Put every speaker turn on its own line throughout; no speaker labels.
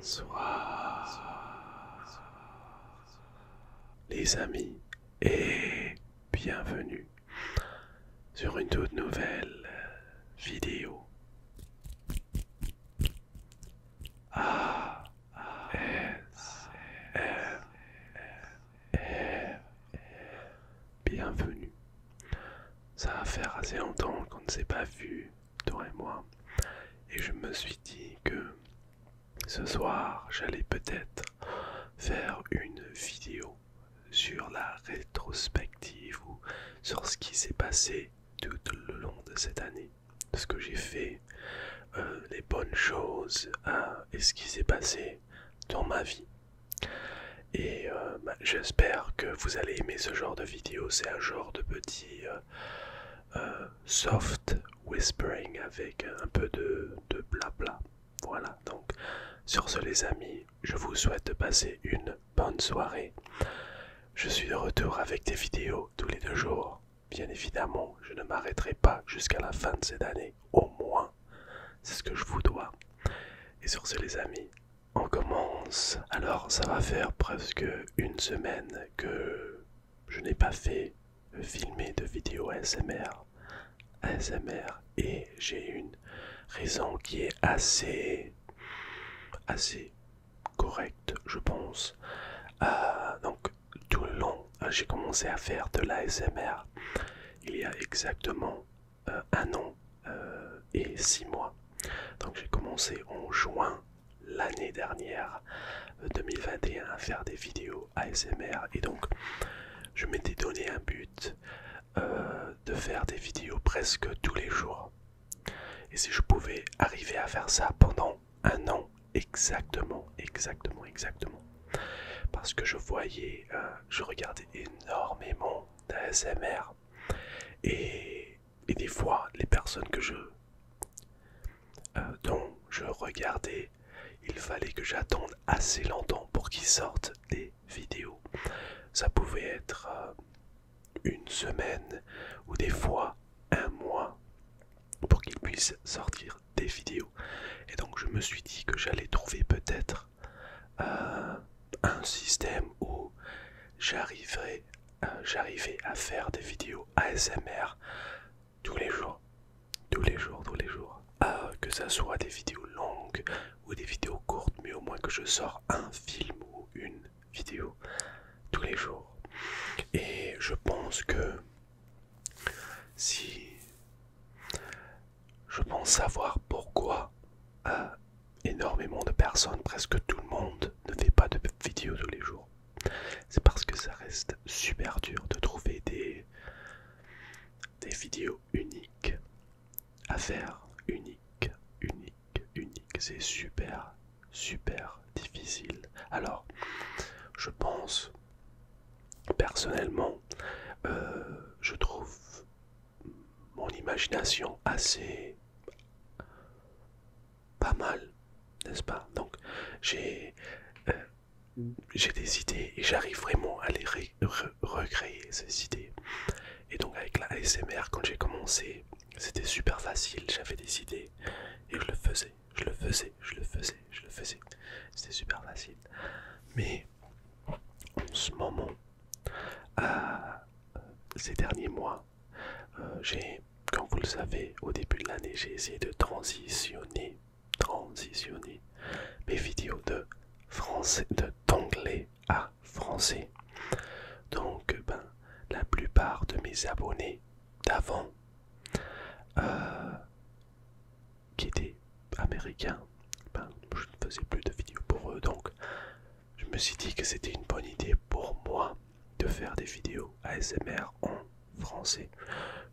Soir. Les amis, et bienvenue sur une toute nouvelle vidéo. Bienvenue ça va faire assez longtemps qu'on ne s'est pas vu, toi et moi. Et je me suis dit que ce soir, j'allais peut-être faire une vidéo sur la rétrospective ou sur ce qui s'est passé tout le long de cette année. Ce que j'ai fait, euh, les bonnes choses hein, et ce qui s'est passé dans ma vie. Et euh, bah, j'espère que vous allez aimer ce genre de vidéo. C'est un genre de petit euh, euh, soft whispering avec un peu de, de blabla. Voilà, donc sur ce les amis, je vous souhaite de passer une bonne soirée. Je suis de retour avec des vidéos tous les deux jours. Bien évidemment, je ne m'arrêterai pas jusqu'à la fin de cette année, au moins. C'est ce que je vous dois. Et sur ce les amis, on commence. Alors ça va faire presque une semaine que je n'ai pas fait filmer de vidéos ASMR. ASMR et j'ai une raison qui est assez assez correcte je pense. Euh, donc tout le long j'ai commencé à faire de l'ASMR il y a exactement euh, un an euh, et six mois. Donc j'ai commencé en juin l'année dernière 2021 euh, à faire des vidéos ASMR et donc je m'étais donné un but de faire des vidéos presque tous les jours. Et si je pouvais arriver à faire ça pendant un an exactement, exactement, exactement. Parce que je voyais, je regardais énormément d'ASMR et, des fois, les personnes que je, euh, dont je regardais, il fallait que j'attende assez longtemps pour qu'ils sortent des vidéos. Ça pouvait être euh, une semaine ou des fois un mois pour qu'ils puissent sortir des vidéos. Et donc je me suis dit que j'allais trouver peut-être euh, un système où j'arriverai euh, à faire des vidéos ASMR tous les jours tous les jours tous les jours euh, que ça soit des vidéos longues ou des vidéos courtes mais au moins que je sors un film ou une vidéo tous les jours et je pense que si je pense savoir pourquoi euh, énormément de personnes, presque tout le monde, ne fait pas de vidéos tous les jours. C'est parce que ça reste super dur de trouver des, des vidéos uniques à faire. uniques, uniques, uniques. C'est super, super difficile. Alors, je pense personnellement, euh, je trouve mon imagination assez pas mal, n'est-ce pas Donc j'ai euh, j'ai des idées et j'arrive vraiment à les recréer, ces idées. Et donc avec la ASMR, quand j'ai commencé, c'était super facile, j'avais des idées et je le faisais, je le faisais, je le faisais, je le faisais. C'était super facile. Mais en ce moment, euh, ces derniers mois, euh, j'ai, comme vous le savez, au début de l'année, j'ai essayé de transitionner, transitionner mes vidéos de français, d'anglais à français. Donc, ben, la plupart de mes abonnés d'avant, euh, qui étaient Américain, ben, je ne faisais plus de vidéos pour eux, donc je me suis dit que c'était une bonne idée pour moi de faire des vidéos ASMR en français.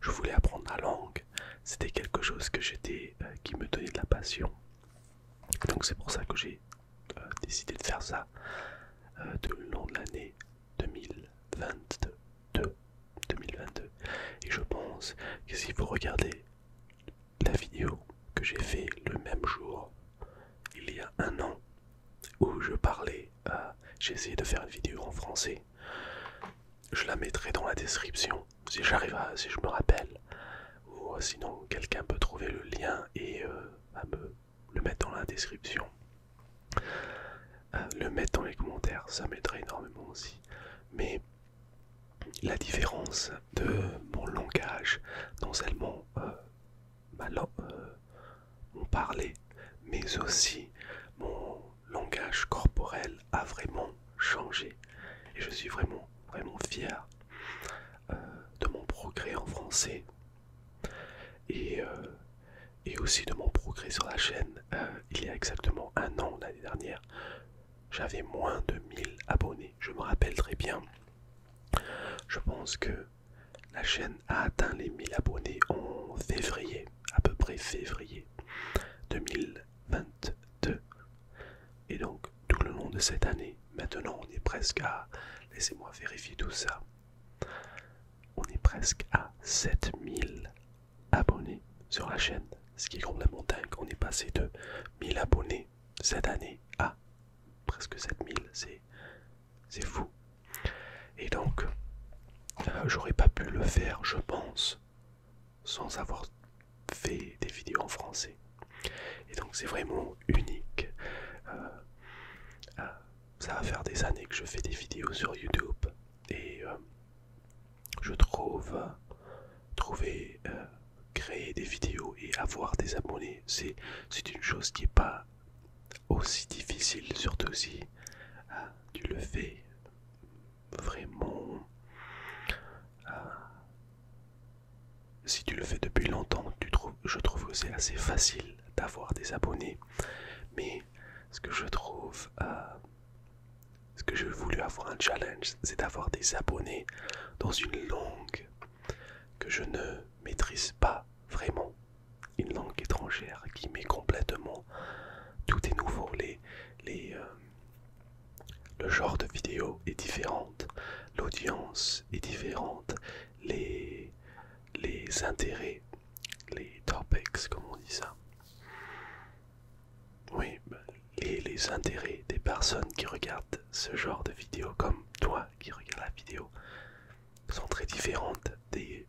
Je voulais apprendre la langue, c'était quelque chose que j'étais, euh, qui me donnait de la passion. Donc c'est pour ça que j'ai euh, décidé de faire ça tout euh, le long de l'année 2022. 2022. Et je pense que si vous regardez la vidéo que j'ai fait le même jour, il y a un an, où je parlais, euh, j'ai essayé de faire une vidéo en français. Je la mettrai dans la description si j'arrive à, si je me rappelle. Ou euh, sinon, quelqu'un peut trouver le lien et euh, me, le mettre dans la description. le mettre dans les commentaires, ça m'aiderait énormément aussi. Mais la différence de mon langage, dans seulement euh, euh, mon parler, mais aussi mon langage corporel a vraiment changé. Et je suis vraiment, vraiment fier euh, de mon progrès en français et, aussi de mon progrès sur la chaîne. il y a exactement un an, l'année dernière, j'avais moins de 1000 abonnés. Je me rappelle très bien. Je pense que la chaîne a atteint les 1000 abonnés en février, à peu près février 2022. Et donc, tout le long de cette année, maintenant on est presque à... Laissez-moi vérifier tout ça. On est presque à 7000 abonnés sur la chaîne ce qui est la montagne. On est passé de 1000 abonnés cette année à presque 7000. C'est fou. Et donc, euh, j'aurais pas pu le faire, je pense, sans avoir fait des vidéos en français. Et donc, c'est vraiment unique. Euh, euh, ça va faire des années que je fais des vidéos sur YouTube. Et je trouve trouver euh, créer des vidéos et avoir des abonnés c'est une chose qui n'est pas aussi difficile surtout si hein, tu le fais vraiment hein. si tu le fais depuis longtemps je trouve que c'est assez facile d'avoir des abonnés mais ce que je trouve euh, ce que j'ai voulu avoir un challenge, c'est d'avoir des abonnés dans une langue que je ne maîtrise pas vraiment. Une langue étrangère qui met complètement... Tout est nouveau, euh, le genre de vidéo est différente, l'audience est différente, les, les intérêts, les topics, comme on dit ça, oui, bah, et les intérêts des personnes qui regardent ce genre de vidéo, comme toi qui regarde la vidéo, sont très différentes des,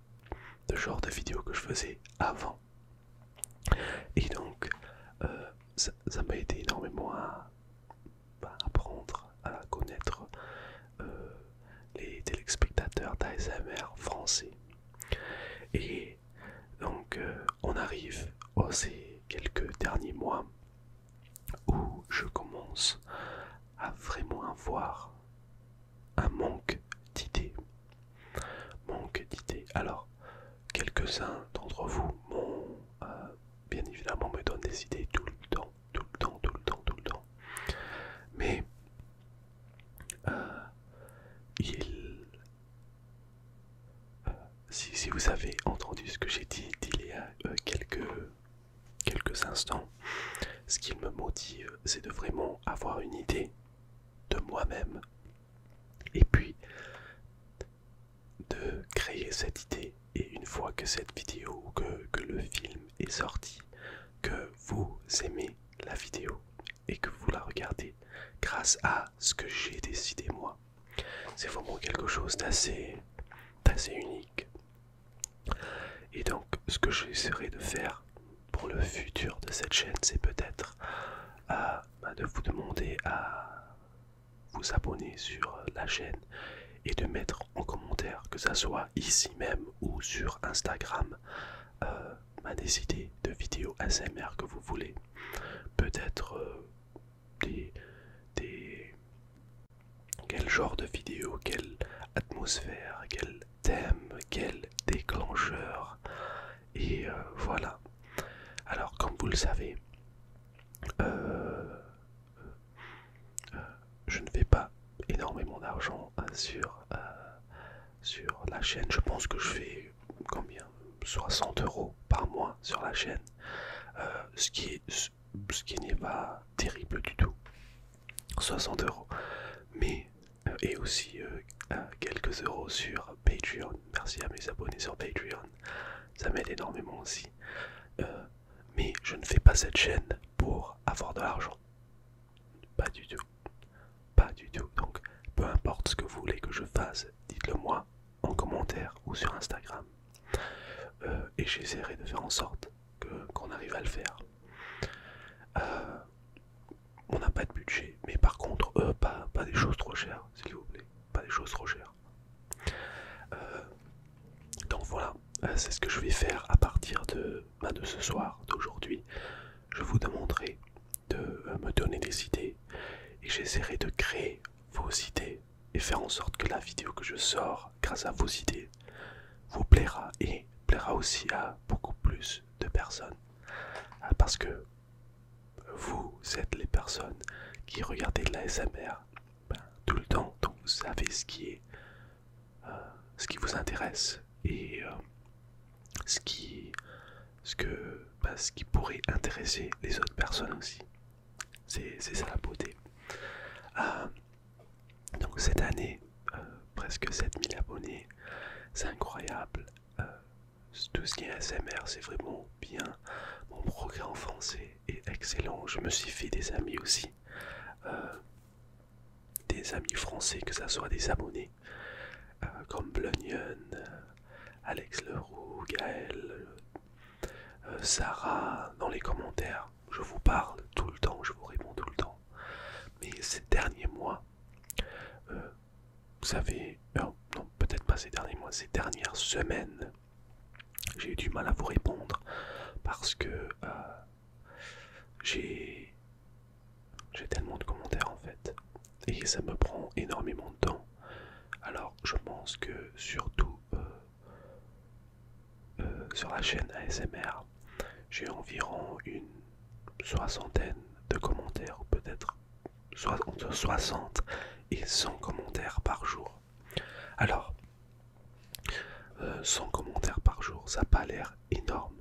genres de vidéos que je faisais avant. Et donc, euh, ça m'a aidé énormément à, bah, apprendre, à connaître euh, les téléspectateurs d'ASMR français. Et donc euh, on arrive aux oh, ces quelques derniers mois où je commence à vraiment voir un manque d'idées. Manque d'idées. Alors, quelques-uns d'entre vous m'ont euh, bien évidemment me donnent des idées tout le temps, tout le temps, tout le temps, tout le temps. Mais euh, il euh, si, vous avez entendu ce que j'ai dit il y a euh, quelques, instants, ce qui me motive, euh, c'est de vraiment avoir une idée de moi-même et puis de créer cette idée. Et une fois que cette vidéo, ou que le film est sorti, que vous aimez la vidéo et que vous la regardez grâce à ce que j'ai décidé moi. C'est vraiment quelque chose d'assez unique. Et donc ce que j'essaierai de faire pour le futur de cette chaîne, c'est peut-être euh, bah, de vous demander à vous abonner sur euh, la chaîne et de mettre en commentaire que ça soit ici même ou sur Instagram. Euh, à des idées de vidéos ASMR que vous voulez. Peut-être euh, des, des... Quel genre de vidéos, quelle atmosphère, quel thème, quel déclencheur. Et euh, voilà. Alors comme vous le savez, euh, je ne fais pas énormément d'argent hein, sur sur la chaîne. Je pense que je fais combien 60 euros par mois sur la chaîne, euh, ce qui est, ce qui n'est pas terrible du tout. 60 euros, mais euh, et aussi euh, quelques euros sur Patreon. Merci à mes abonnés sur Patreon, ça m'aide énormément aussi. mais je ne fais pas cette chaîne pour avoir de l'argent, pas du tout. Pas du tout. Donc, peu importe ce que vous voulez que je fasse, dites-le moi en commentaire ou sur Instagram. Euh, et j'essaierai de faire en sorte qu'on arrive à le faire. Euh, on n'a pas de budget, mais par contre, euh, pas, des choses trop chères, s'il vous plaît. Pas des choses trop chères. donc voilà, c'est ce que je vais faire à partir de, bah, de ce soir, d'aujourd'hui. Je vous demanderai de euh, me donner des idées et j'essaierai de créer vos idées et faire en sorte que la vidéo que je sors grâce à vos idées vous plaira et plaira aussi à beaucoup plus de personnes ah, parce que vous êtes les personnes qui regardez de la SMR ben, tout le temps donc vous savez ce qui est euh, ce qui vous intéresse et euh, bah, ce qui, pourrait intéresser les autres personnes aussi. C'est ça la beauté. Euh, donc cette année, euh, presque 7000 abonnés, c'est incroyable. Euh, tout ce qui est c'est vraiment bien. Mon progrès en français est excellent. Je me suis fait des amis aussi. des amis français, que ça soit des abonnés euh, comme Blunion, euh, Alex Leroux, Gaël, euh, Sarah, dans les commentaires. Je vous parle tout le temps, je vous réponds tout le temps. Mais ces derniers mois, vous savez, non, peut-être pas ces derniers mois, ces dernières semaines, j'ai eu du mal à vous répondre parce que j'ai j'ai tellement de commentaires en fait. Et ça me prend énormément de temps. Alors je pense que surtout euh, euh, sur la chaîne ASMR, j'ai environ une soixantaine de commentaires, ou peut-être entre 60 et 100 commentaires par jour. Alors, 100 euh, commentaires par jour, ça n'a pas l'air énorme.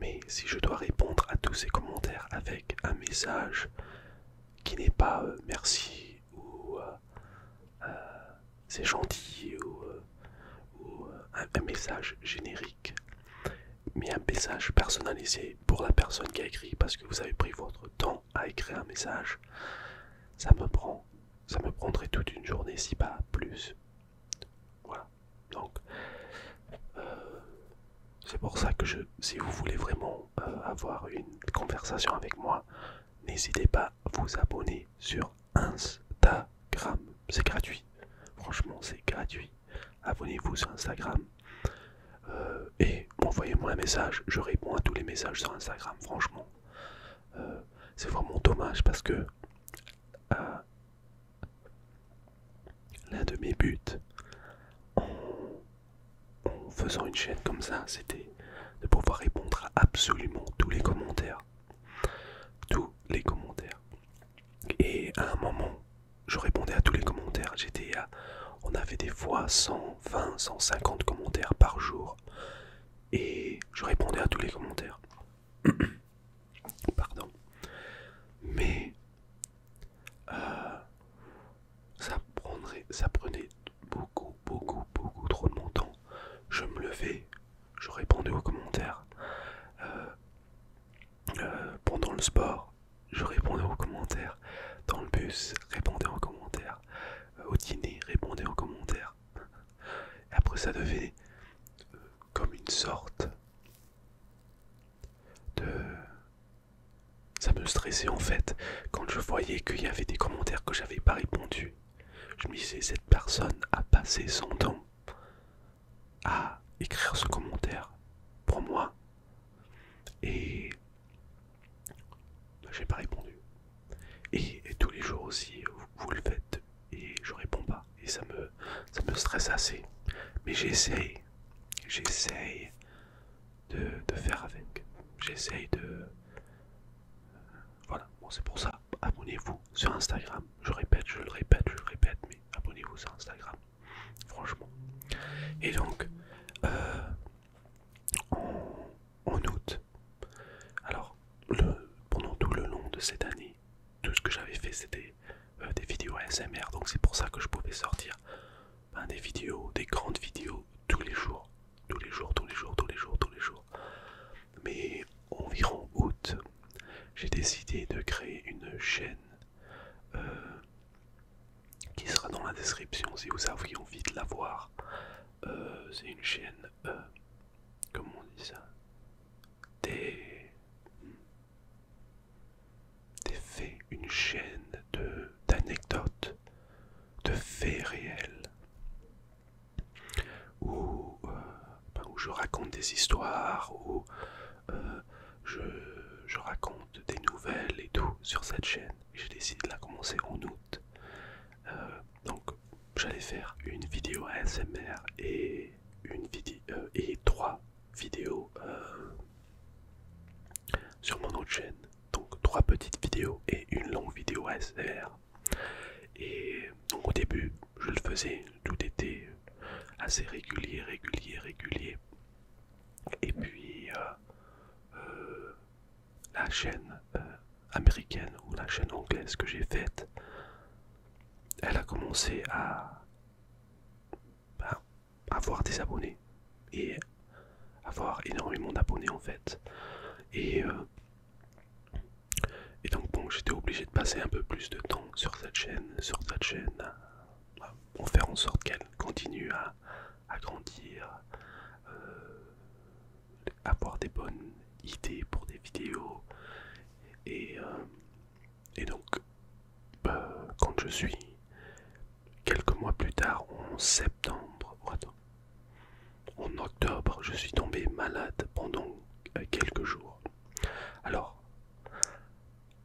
Mais si je dois répondre à tous ces commentaires avec un message qui n'est pas euh, merci ou euh, euh, c'est gentil ou, un, un message générique, mais un message personnalisé pour la personne qui a écrit parce que vous avez pris votre temps à écrire un message, ça me prend, ça me prendrait toute une journée si pas plus. Voilà. Donc, euh, c'est pour ça que je, si vous voulez vraiment euh, avoir une conversation avec moi, n'hésitez pas à vous abonner sur Instagram. C'est gratuit. Franchement, c'est gratuit. Abonnez-vous sur Instagram. Euh, et envoyez-moi un message. Je réponds à tous les messages sur Instagram. Franchement, c'est vraiment dommage parce que L'un de mes buts en, faisant une chaîne comme ça, c'était de pouvoir répondre à absolument tous les commentaires. Tous les commentaires. Et à un moment, je répondais à tous les commentaires. On avait des fois 120, 150 commentaires par jour. Et je répondais à tous les commentaires. Pardon. Mais euh, ça, prendrait, ça prenait beaucoup, beaucoup, beaucoup trop de mon temps. Je me levais, je répondais aux commentaires. Euh, euh, pendant le sport, je répondais aux commentaires. Dans le bus, répondais aux commentaires. au dîner, répondais aux commentaires. après, ça devait comme une sorte de ça me stressait en fait quand je voyais qu'il y avait des commentaires que j'avais pas répondu. Je me disais cette personne a passé son temps à écrire ce commentaire pour moi et j'ai pas répondu. Et, tous les jours aussi vous le faites et je réponds pas et ça me me stresse assez mais j'essaye j'essaye de, faire avec j'essaye de voilà bon c'est pour ça abonnez-vous sur Instagram je répète je le répète je le répète mais abonnez-vous sur Instagram franchement et donc euh, en, en août alors le, pendant tout le long de cette année tout ce que j'avais fait c'était euh, des vidéos ASMR, donc c'est pour ça que je pouvais sortir ben, des vidéos, des grandes vidéos tous les jours, tous les jours, tous les jours, tous les jours, tous les jours. Mais environ août, j'ai décidé de créer une chaîne euh, qui sera dans la description si vous avez envie de la voir. Euh, c'est une chaîne, comment on dit ça Des des faits, une chaîne d'anecdotes, de, faits réels, euh, ben, où, je raconte des histoires, où euh, je, raconte des nouvelles et tout sur cette chaîne. j'ai décidé de la commencer en août. Euh, donc j'allais faire une vidéo ASMR et une vidéo euh, et trois vidéos euh, sur mon autre chaîne donc trois petites vidéos et une longue vidéo ASMR et donc au début je le faisais tout était euh, assez régulier régulier régulier et puis la chaîne américaine ou la chaîne anglaise que j'ai faite elle a commencé à avoir des abonnés et avoir énormément d'abonnés en fait. Et, euh, et donc bon, j'étais obligé de passer un peu plus de temps sur cette chaîne, sur cette chaîne, euh, pour faire en sorte qu'elle continue à, grandir, euh, avoir des bonnes idées pour des vidéos et et donc, euh, quand je suis quelques mois plus tard, en septembre, oh, en octobre, je suis tombé malade pendant euh, quelques jours. Alors,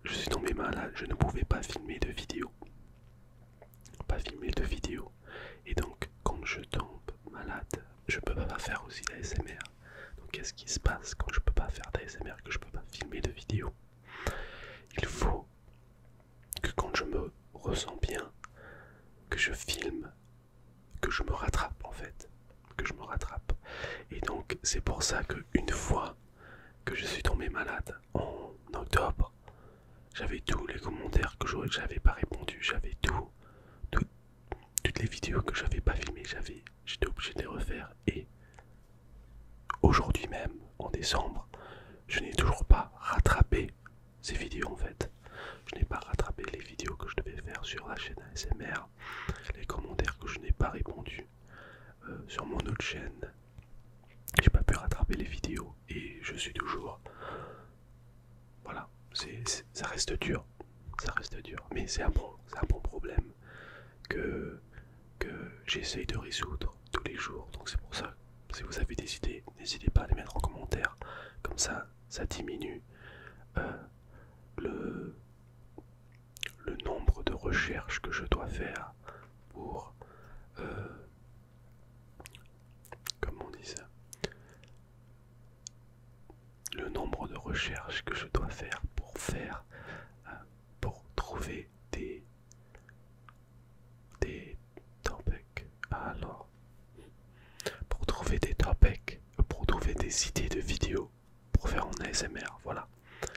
je suis tombé malade, je ne pouvais pas filmer de vidéo. Pas filmer de vidéo. Et donc, quand je tombe malade, je peux pas faire aussi d'ASMR. Donc qu'est-ce qui se passe quand je peux pas faire d'ASMR, que je peux pas filmer de vidéo Il faut que quand je me ressens bien, que je filme, que je me rattrape en fait, que je me rattrape. Et donc c'est pour ça que une fois que je suis tombé malade en octobre, j'avais tous les commentaires que j'avais pas répondu, j'avais tout, tout, toutes les vidéos que j'avais pas filmées, j'avais, j'étais obligé de les refaire. Et aujourd'hui même, en décembre, je n'ai toujours pas rattrapé ces vidéos en fait. Je n'ai pas rattrapé les vidéos que je devais faire sur la chaîne ASMR, les commentaires que je n'ai pas répondu euh, sur mon autre chaîne. J'ai pas pu rattraper les vidéos et je suis toujours voilà ça reste dur, ça reste dur. Mais c'est un, bon, un bon problème que, que j'essaye de résoudre tous les jours. Donc c'est pour ça, si vous avez des idées, n'hésitez pas à les mettre en commentaire. Comme ça, ça diminue euh, le, le nombre de recherches que je dois faire pour... Euh, comment on dit ça le nombre de recherches que je dois faire pour faire euh, pour trouver des des topics alors pour trouver des topics pour trouver des idées de vidéos pour faire en ASMR voilà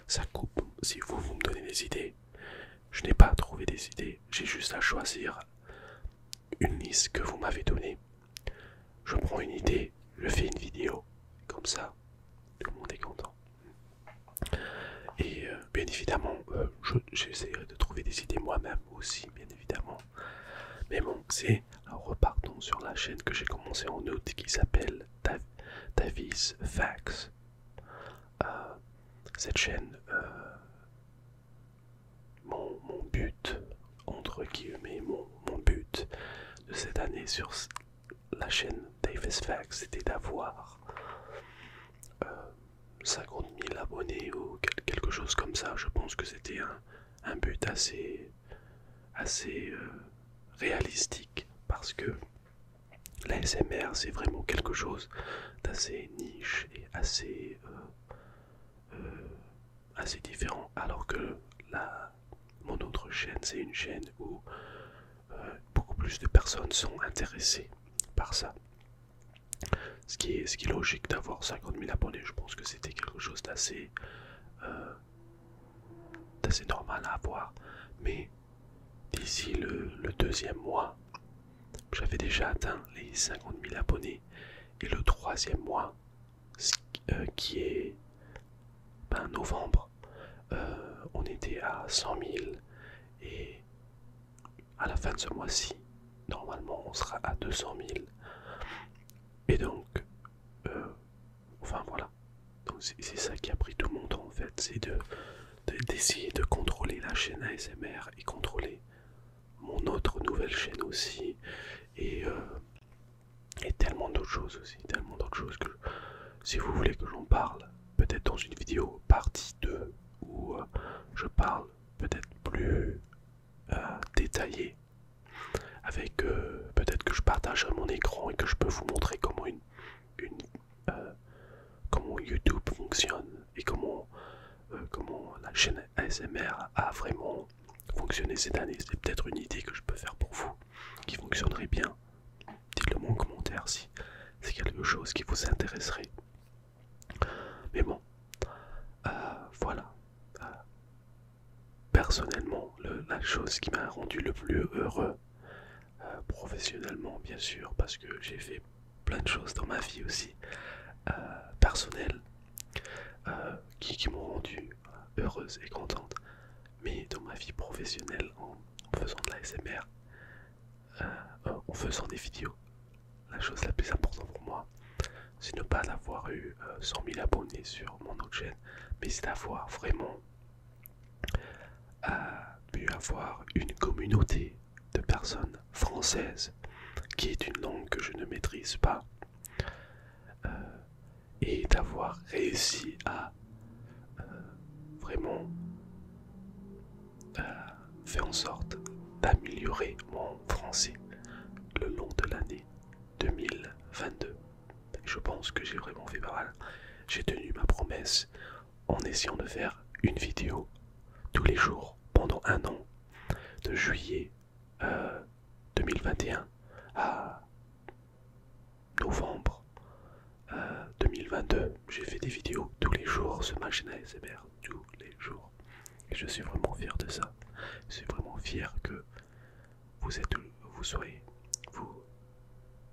ça coupe si vous vous me donnez des idées je n'ai pas à trouver des idées j'ai juste à choisir une liste que vous m'avez donnée je prends une idée, je fais une vidéo, comme ça, tout le monde est content. Et euh, bien évidemment, euh, j'essaierai de trouver des idées moi-même aussi, bien évidemment. Mais bon, c'est repartons sur la chaîne que j'ai commencée en août qui s'appelle Davis Facts. Euh, cette chaîne, mon, but, entre guillemets, mon, but de cette année sur la chaîne Davis Facts, c'était d'avoir 50 euh, 000 abonnés ou quelque chose comme ça. Je pense que c'était un, but assez, assez euh, réalistique parce que la SMR c'est vraiment quelque chose d'assez niche et assez euh, assez différent alors que la, mon autre chaîne c'est une chaîne où euh, beaucoup plus de personnes sont intéressées par ça ce qui est, ce qui est logique d'avoir 50 000 abonnés je pense que c'était quelque chose d'assez euh, d'assez normal à avoir mais d'ici le, le deuxième mois j'avais déjà atteint les 50 000 abonnés et le troisième mois euh, qui est ben, novembre, euh, on était à 100 000 et à la fin de ce mois-ci, normalement, on sera à 200 000. Et donc, euh, enfin voilà. Donc c'est ça qui a pris tout le monde en fait, c'est d'essayer de, contrôler la chaîne ASMR et contrôler mon autre nouvelle chaîne aussi euh, et, tellement d'autres choses aussi, tellement d'autres choses que si vous voulez que j'en parle, peut-être dans une vidéo partie 2 où euh, je parle peut-être plus euh, détaillé avec peut-être que je partage mon écran et que je peux vous montrer comment une, une comment YouTube fonctionne et comment, comment la chaîne ASMR a vraiment fonctionné cette année. C'est peut-être une idée que je peux faire pour vous qui fonctionnerait bien. Dites-le moi en commentaire si c'est quelque chose qui vous intéresserait. Mais bon, euh, voilà. Euh, personnellement, la chose qui m'a rendu le plus heureux, euh, professionnellement bien sûr, parce que j'ai fait plein de choses dans ma vie aussi, personnelle, euh, qui, m'ont rendu heureuse et contente. Mais dans ma vie professionnelle, en faisant de la SMR, euh, en faisant des vidéos, la chose la plus importante pour moi, c'est ne pas d'avoir eu 100 euh, 000 abonnés sur mon autre chaîne, mais c'est d'avoir vraiment pu avoir une communauté de personnes françaises qui est une langue que je ne maîtrise pas euh, et d'avoir réussi à euh, vraiment euh, faire en sorte d'améliorer mon français le long de l'année 2022. Je pense que j'ai vraiment fait pas mal. J'ai tenu ma promesse en essayant de faire une vidéo tous les jours pendant un an, de juillet 2021 euh, à novembre 2022. Euh, j'ai fait des vidéos tous les jours sur ma chaîne ASMR, tous les jours. je suis vraiment fier de ça. Je suis vraiment fier que vous êtes, vous soyez, vous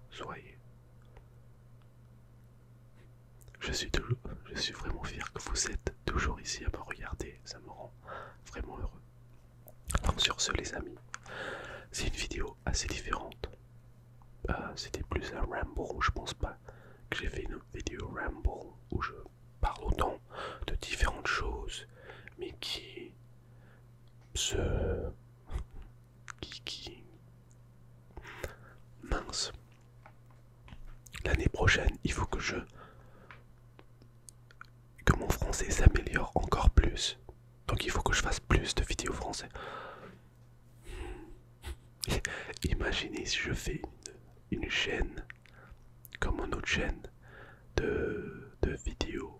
soyez. Je suis, toujours, je suis vraiment fier que vous êtes toujours ici à me regarder, ça me rend vraiment heureux. Alors sur ce les amis, c'est une vidéo assez différente. Euh, c'était plus un ramble, je pense pas que j'ai fait une vidéo ramble où je parle autant de différentes choses, mais qui se... qui... qui... mince L'année prochaine, il faut que je que mon français s'améliore encore plus. Donc il faut que je fasse plus de vidéos français. Imaginez si je fais une, chaîne comme une autre chaîne de, vidéos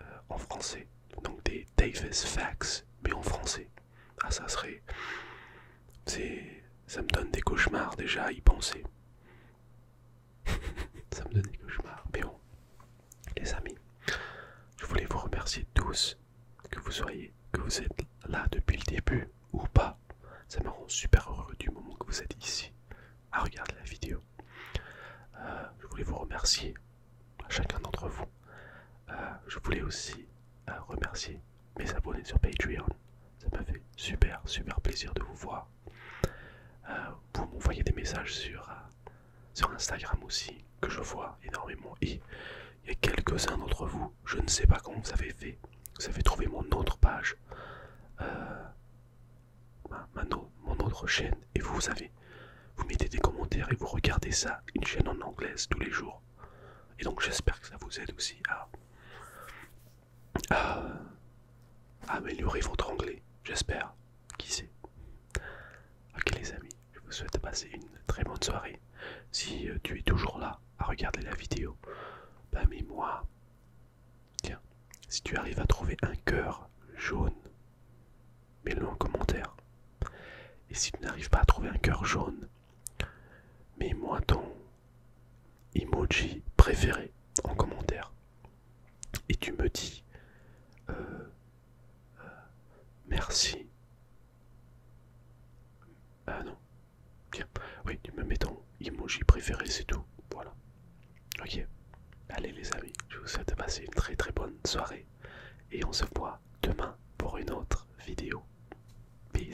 euh, en français. Donc des Davis Facts, mais en français. Ah ça serait ça me donne des cauchemars déjà à y penser. ça me donne des cauchemars. Mais bon, les amis, je voulais vous remercier tous que vous soyez, que vous êtes là depuis le début ou pas. Ça me rend super heureux du moment que vous êtes ici à regarder la vidéo. Euh, je voulais vous remercier chacun d'entre vous. Euh, je voulais aussi euh, remercier mes abonnés sur Patreon. Ça m'a fait super, super plaisir de vous voir. Euh, vous m'envoyez des messages sur, euh, sur Instagram aussi, que je vois énormément. Et il y a quelques-uns d'entre vous, je ne sais pas comment vous avez fait, vous avez trouvé mon autre page, euh, mon autre chaîne, et vous, vous avez, vous mettez des commentaires et vous regardez ça, une chaîne en anglaise tous les jours. Et donc j'espère que ça vous aide aussi à, améliorer ah. Ah, votre anglais, j'espère. Qui sait Ok les amis, je vous souhaite passer une très bonne soirée. Si euh, tu es toujours là à regarder la vidéo, bah mets-moi. Tiens, si tu arrives à trouver un cœur jaune, mets-le en commentaire. Et si tu n'arrives pas à trouver un cœur jaune, mets-moi ton emoji préféré en commentaire et tu me dis euh, euh, merci ah non tiens. oui tu me mets ton emoji préféré c'est tout voilà ok allez les amis je vous souhaite de passer une très très bonne soirée et on se voit demain pour une autre vidéo peace